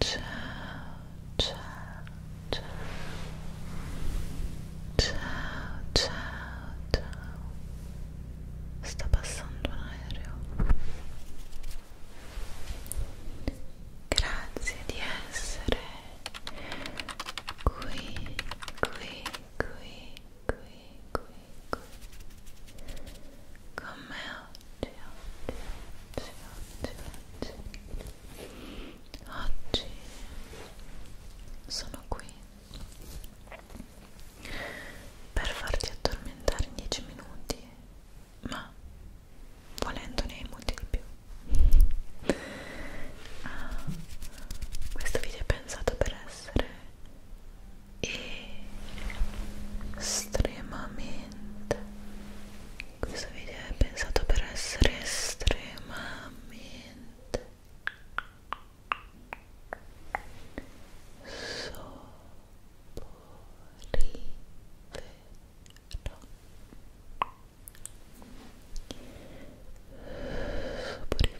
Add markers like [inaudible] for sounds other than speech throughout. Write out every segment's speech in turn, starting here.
ciao, ciao, ciao, ciao, ciao, Sta passando un aereo. Grazie di essere qui, qui, qui, qui, qui, qui con me oggi, oggi, oggi, oggi, oggi, oggi sono qui per farti addormentare in 10 minuti, ma volendo ne hai molti di più. Ah, questo video è pensato per essere e estremamente questo video è pensato per essere estremamente soporifero soporifero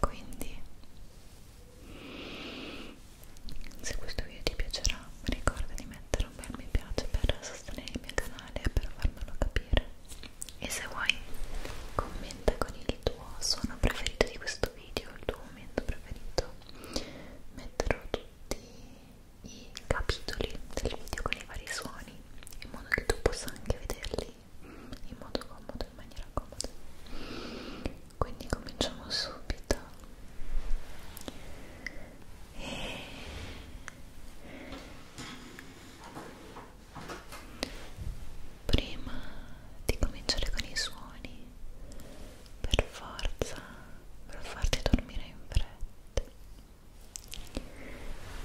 quindi se questo video ti piacerà ricorda di mettere un bel mi piace per sostenere il mio canale e per farmelo capire e se vuoi commenta con il tuo suono preferito di questo video il tuo momento preferito metterò tutti i capitoli del video con i vari suoni in modo che tu possa anche vederli in modo comodo, in maniera comoda quindi cominciamo subito e... prima di cominciare con i suoni per forza per farti dormire in fretta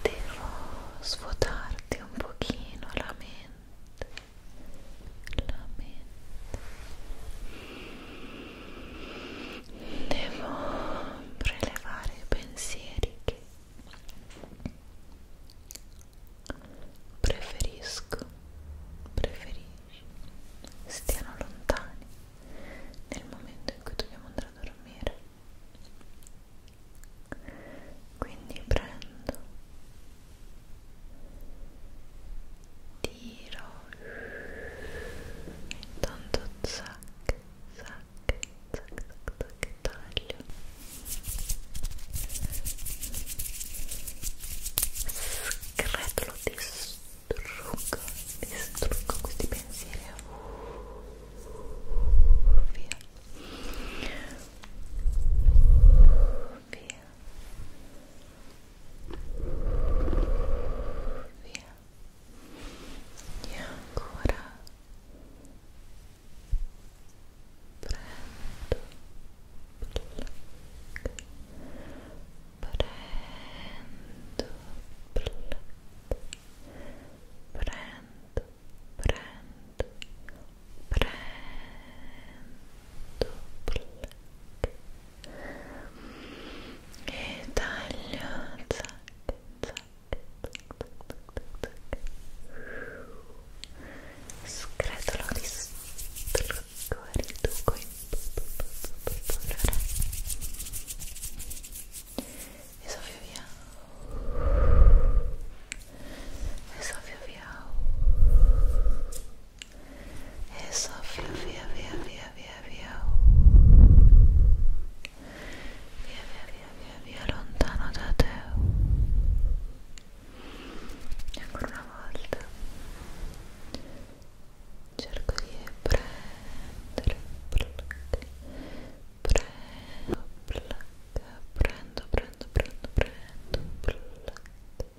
devo svuotarti un pochino la mente la mente devo prelevare i pensieri che preferisco preferisci stiano lontani nel momento in cui dobbiamo andare a dormire quindi prendo tiro intanto zac zac zac zac zac taglio scretolo distruggo distruggo questi pensieri via via via e ancora prendo prendo prendo prendo prendo prendo black e taglio zac, zac, zac, zac. scretolo di strucco e riduco in polvere e soffio via e soffio via e soffio via via via via via via via via via via lontano da te e ancora una volta cerco di prendere plac, prendo plac, prendo prendo prendo prendo plac,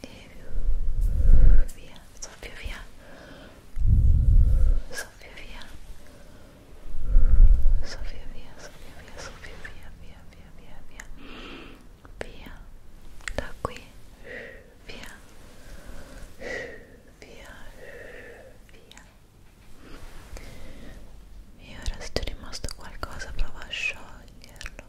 e via, soffio via, soffio via, soffio via, soffio via, soffio via, via, via, via, via, via, da qui, via, via, via. E ora se ti è rimasto qualcosa prova a scioglierlo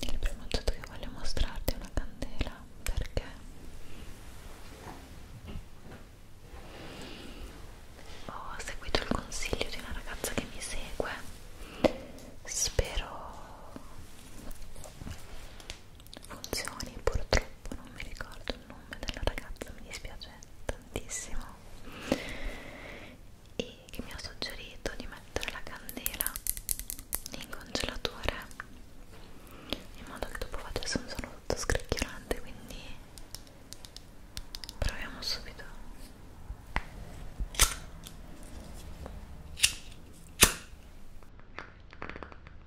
Il primo oggetto che voglio mostrarti è una candela perché ho seguito il consiglio di una ragazza che mi segue spero funzioni purtroppo non mi ricordo il nome della ragazza mi dispiace tantissimo e che mi ha suggerito di mettere la candela in congelatore in modo che dopo facesse un suono tutto scricchiolante quindi proviamo subito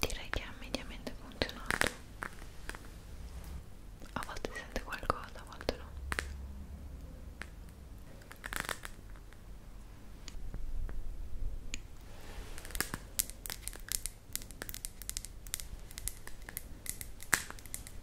Direi che ha mediamente funzionato. A volte si sente qualcosa, a volte no.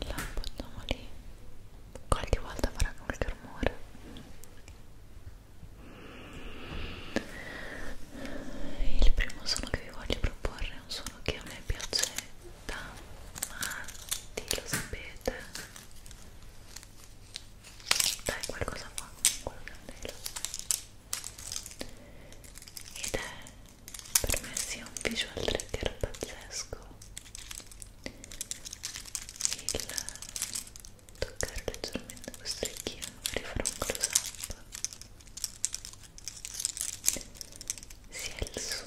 la appoggiamo lì qualche volta farà qualche rumore il primo suono che vi voglio proporre è un suono che a me piace da matti lo sapete dai qualcosa qua quello candela ed è per me sia un visual trigger pazzesco il toccare leggermente questo orecchino magari farò un close up sia il suono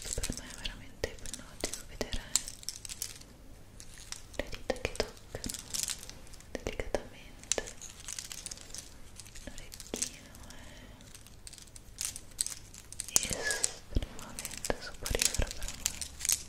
questo per me è veramente ipnotico vedere le dita che toccano delicatamente l'orecchino è eh, estremamente superiore per me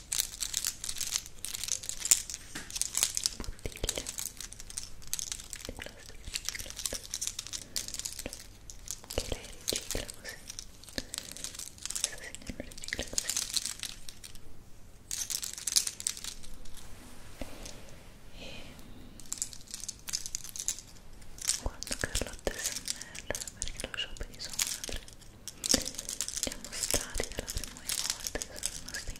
che lei ricicla così questa signora ricicla così e quando Carlotta SMR perché lo shopping di sua madre li ha mostrati per la prima volta che sono rimasti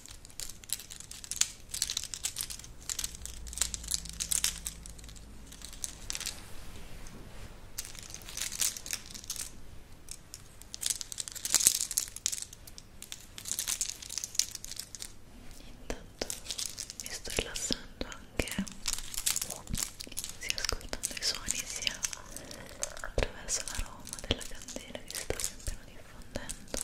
Intanto mi sto rilassando anche sia ascoltando i suoni sia attraverso l'aroma della candela che si sta sempre diffondendo.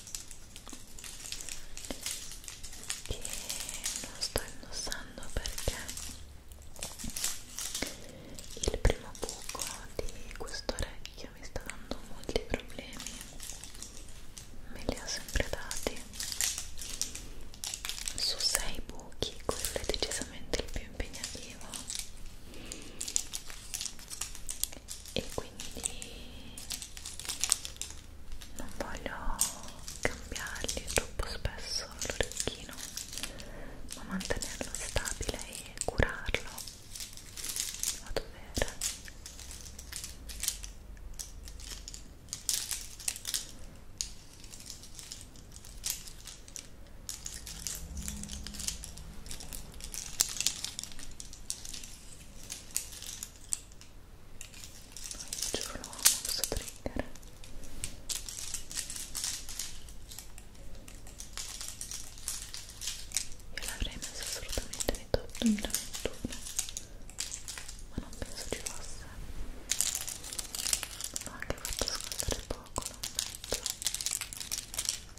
che non sto indossando perché il primo buco di questo orecchio mi sta dando molti problemi me li ho sempre dati su sei buchi quello è decisamente il più impegnativo e quindi non voglio cambiargli troppo spesso l'orecchino ma mantenerlo stabile e curarlo a dovere ci proviamo questo trigger io l'avrei messo assolutamente nei top 2021 ma non penso ci fosse l'ho anche fatto ascoltare poco, lo ammetto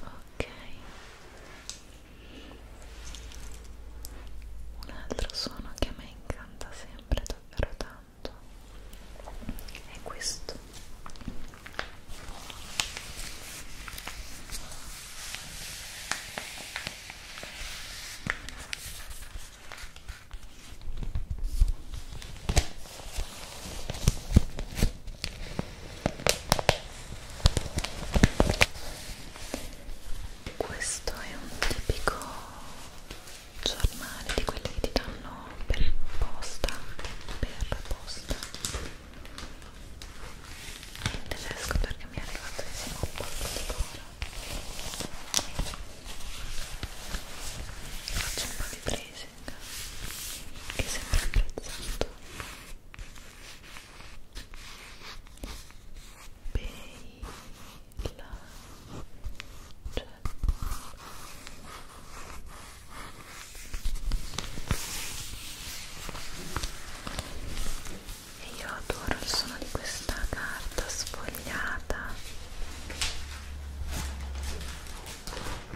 ok un altro suono che a me incanta sempre davvero tanto è questo questo è un tipico giornale di quelli che ti danno per posta per posta in tedesco perché mi è arrivato insieme un po' di coro faccio un po' di prese packaging che è sempre apprezzato bella cioè e io adoro il suono di questa carta sfogliata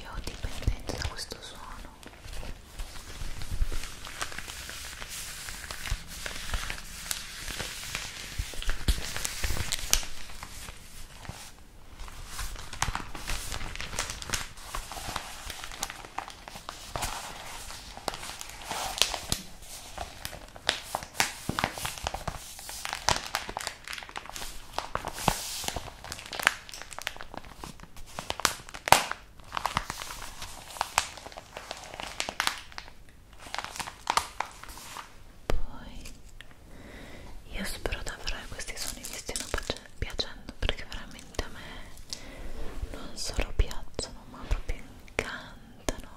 Io ho dipendenza da questo suono. Poi io spero davvero che questi suoni mi stiano piacendo perché veramente a me non solo piacciono ma proprio incantano,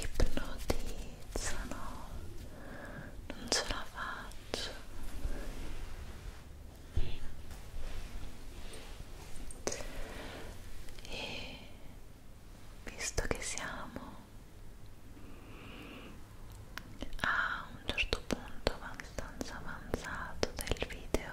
ipnotizzano, non ce la faccio. E visto che siamo a un certo punto abbastanza avanzato del video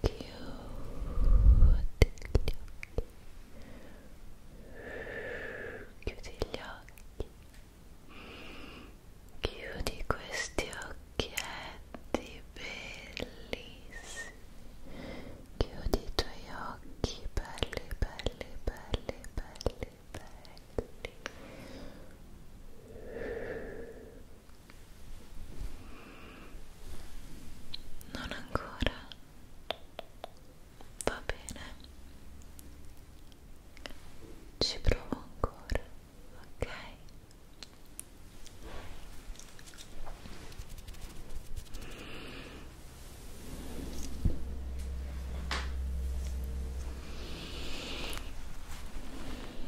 cute. Chiudi gli occhi. Chiudi questi occhietti bellissimi. Chiudi i tuoi occhi belli, belli, belli, belli, belli. Non ancora. Va bene. Ci provo ancora, ok?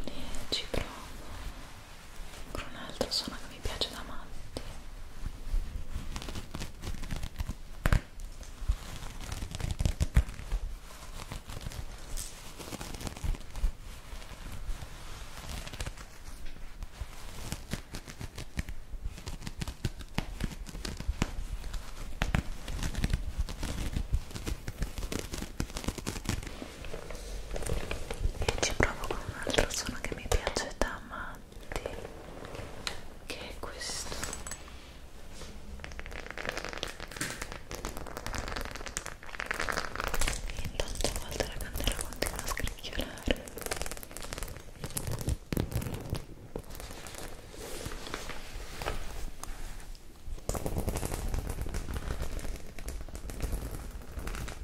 E ci provo con un altro suono che mi piace da matti e ci provo con un altro suono che mi piace da matti che è questo e intanto a volte la candela continua a scricchiolare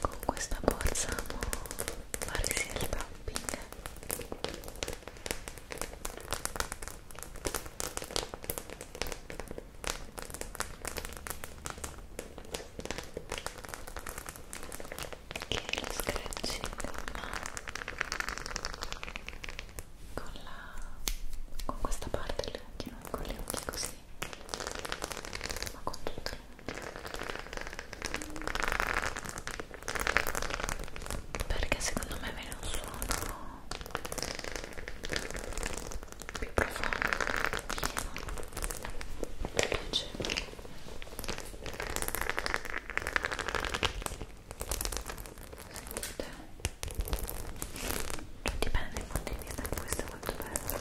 con questa borsa amo farsi il tapping che è lo scratching ma con, la, con questa parte delle unghie, non con le unghie così, ma con tutte le unghie perché secondo me viene un suono più profondo, pieno, piacevole sentite cioè dipende dai punti di vista questo è molto bello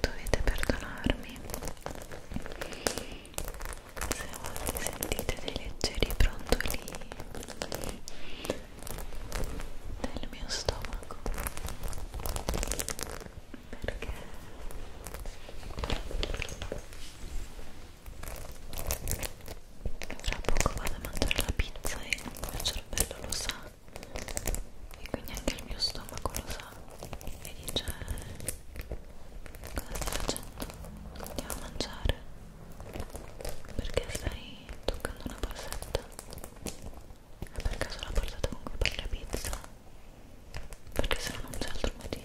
Dovete perdonarmi se a volte sentite dei leggeri brontoli nel mio stomaco perché tra poco vado a mangiare la pizza e il mio cervello lo sa e quindi anche il mio stomaco lo sa e dice eh, cosa stai facendo? andiamo a mangiare perché stai toccando una borsetta? E eh, per caso la portata con cui fai la pizza? Perché se no non c'è altro motivo.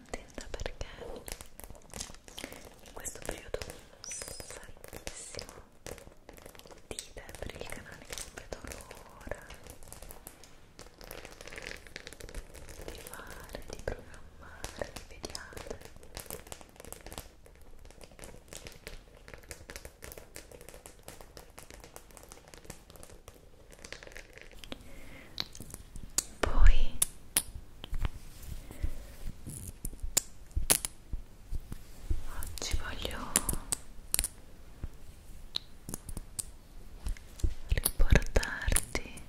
contenta perché in questo periodo tantissimo dite per il canale che non vedo l'ora di fare, di programmare, di vediate poi oggi voglio riportarti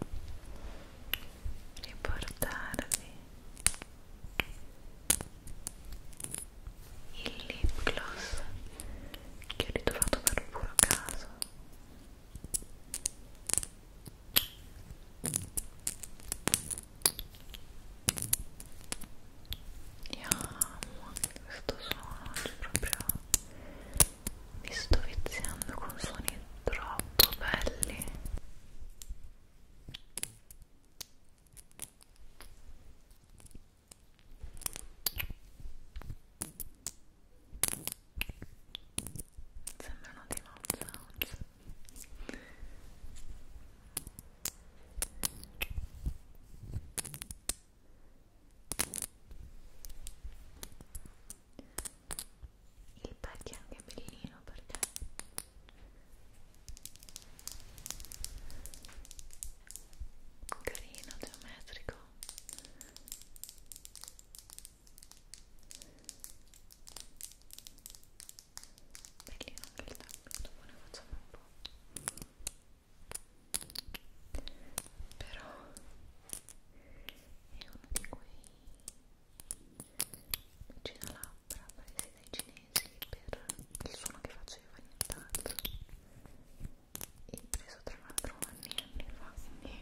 riportarvi il lip gloss che ho ritrovato per puro caso io amo anche questo suono, cioè proprio mi sto viziando con suoni troppo belli. Io sembrano dei mouth sounds il pack è anche bellino perché carino, geometrico Bellino anche il tappeto, ne facciamo un po'. Però è uno di quei labbra presi dai cinesi per il suono che faceva nient'altro. E preso tra l'altro anni e anni fa, quindi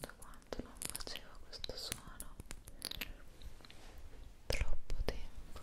da quanto non facevo questo suono troppo tempo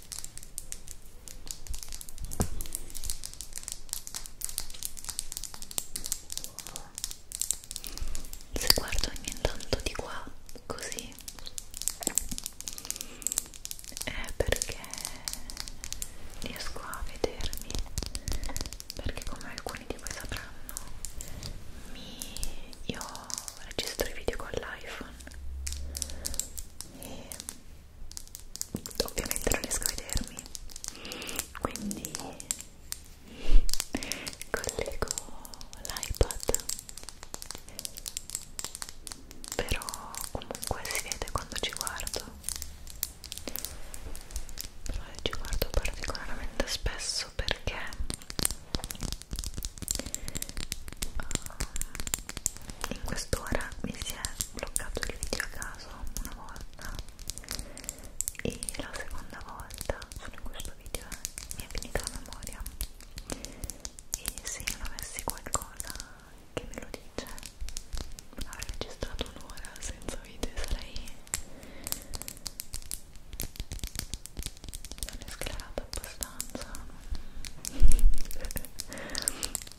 se guardo ogni tanto di qua così è perché riesco a vedermi perché come alcuni di voi sapranno mi, io registro i video con l'iPhone e ovviamente non riesco a vedermi quindi collego l'iPad però comunque si vede quando ci guardo però io ci guardo particolarmente spesso perché uh, in quest'ora mi si è bloccato il video a caso una volta e la seconda volta sono in questo video eh, mi è finita la memoria e se non avessi qualcosa che me lo dice avrei registrato un'ora senza video e sarei non è sclerata abbastanza [laughs]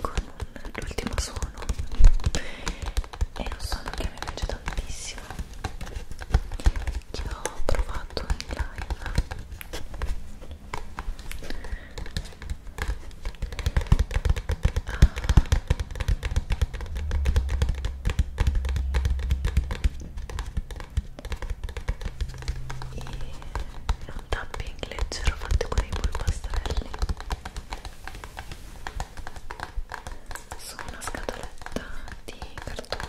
con l'ultimo suono è un suono che mi piace tantissimo che ho provato in live ah. e un tapping leggero fatto con i polpastrelli su una scatoletta di cartone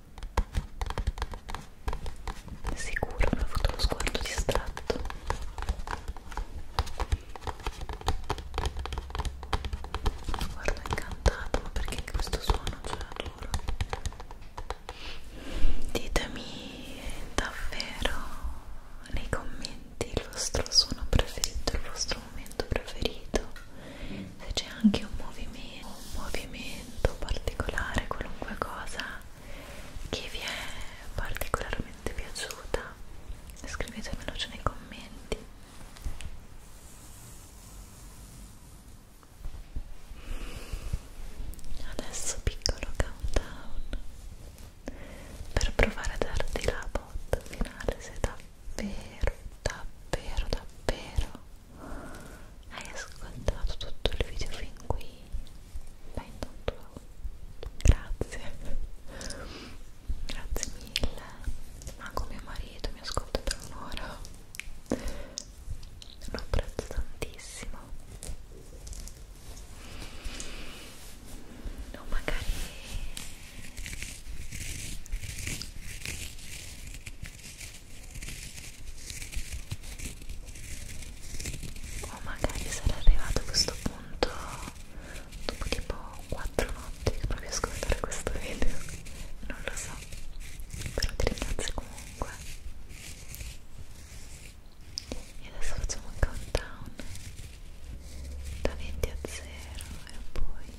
Sicuro, mi ha fatto uno sguardo distratto. Guarda, incantato, ma perché questo suono ce cioè, l'adoro? Ditemi davvero nei commenti il vostro suono preferito, il vostro momento preferito se c'è anche un movimento, un movimento particolare, qualunque cosa che vi è particolarmente piaciuta, scrivetemelo nei commenti. Adesso piccolo countdown per provare a darti la botta finale se davvero, davvero, davvero hai ascoltato tutto il video fin qui beh intanto grazie grazie mille manco mio marito mi ascolta per un'ora lo apprezzo tantissimo o no, magari o oh, magari sarà arrivato a questo punto dopo tipo 4 notti che provi a ascoltare questo video non lo so però ti ringrazio comunque e adesso facciamo un countdown da 20 a 0 e poi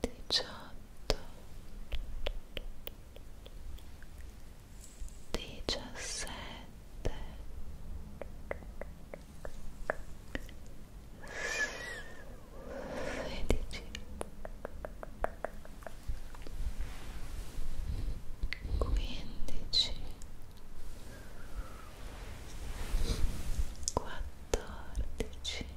diciotto, diciassette, sedici, quindici, quattordici.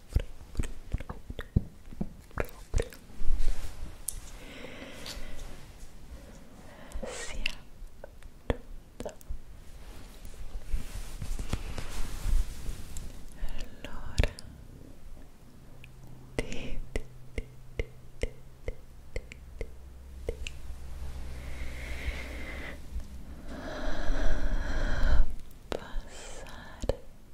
sia tutta allora ti, ti, ti, ti, ti, ti, ti, ti. passare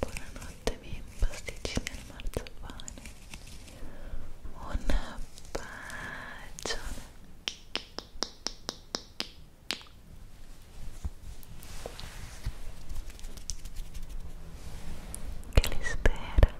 Buonanotte miei pasticcini al marzapane Un bacione Che li spera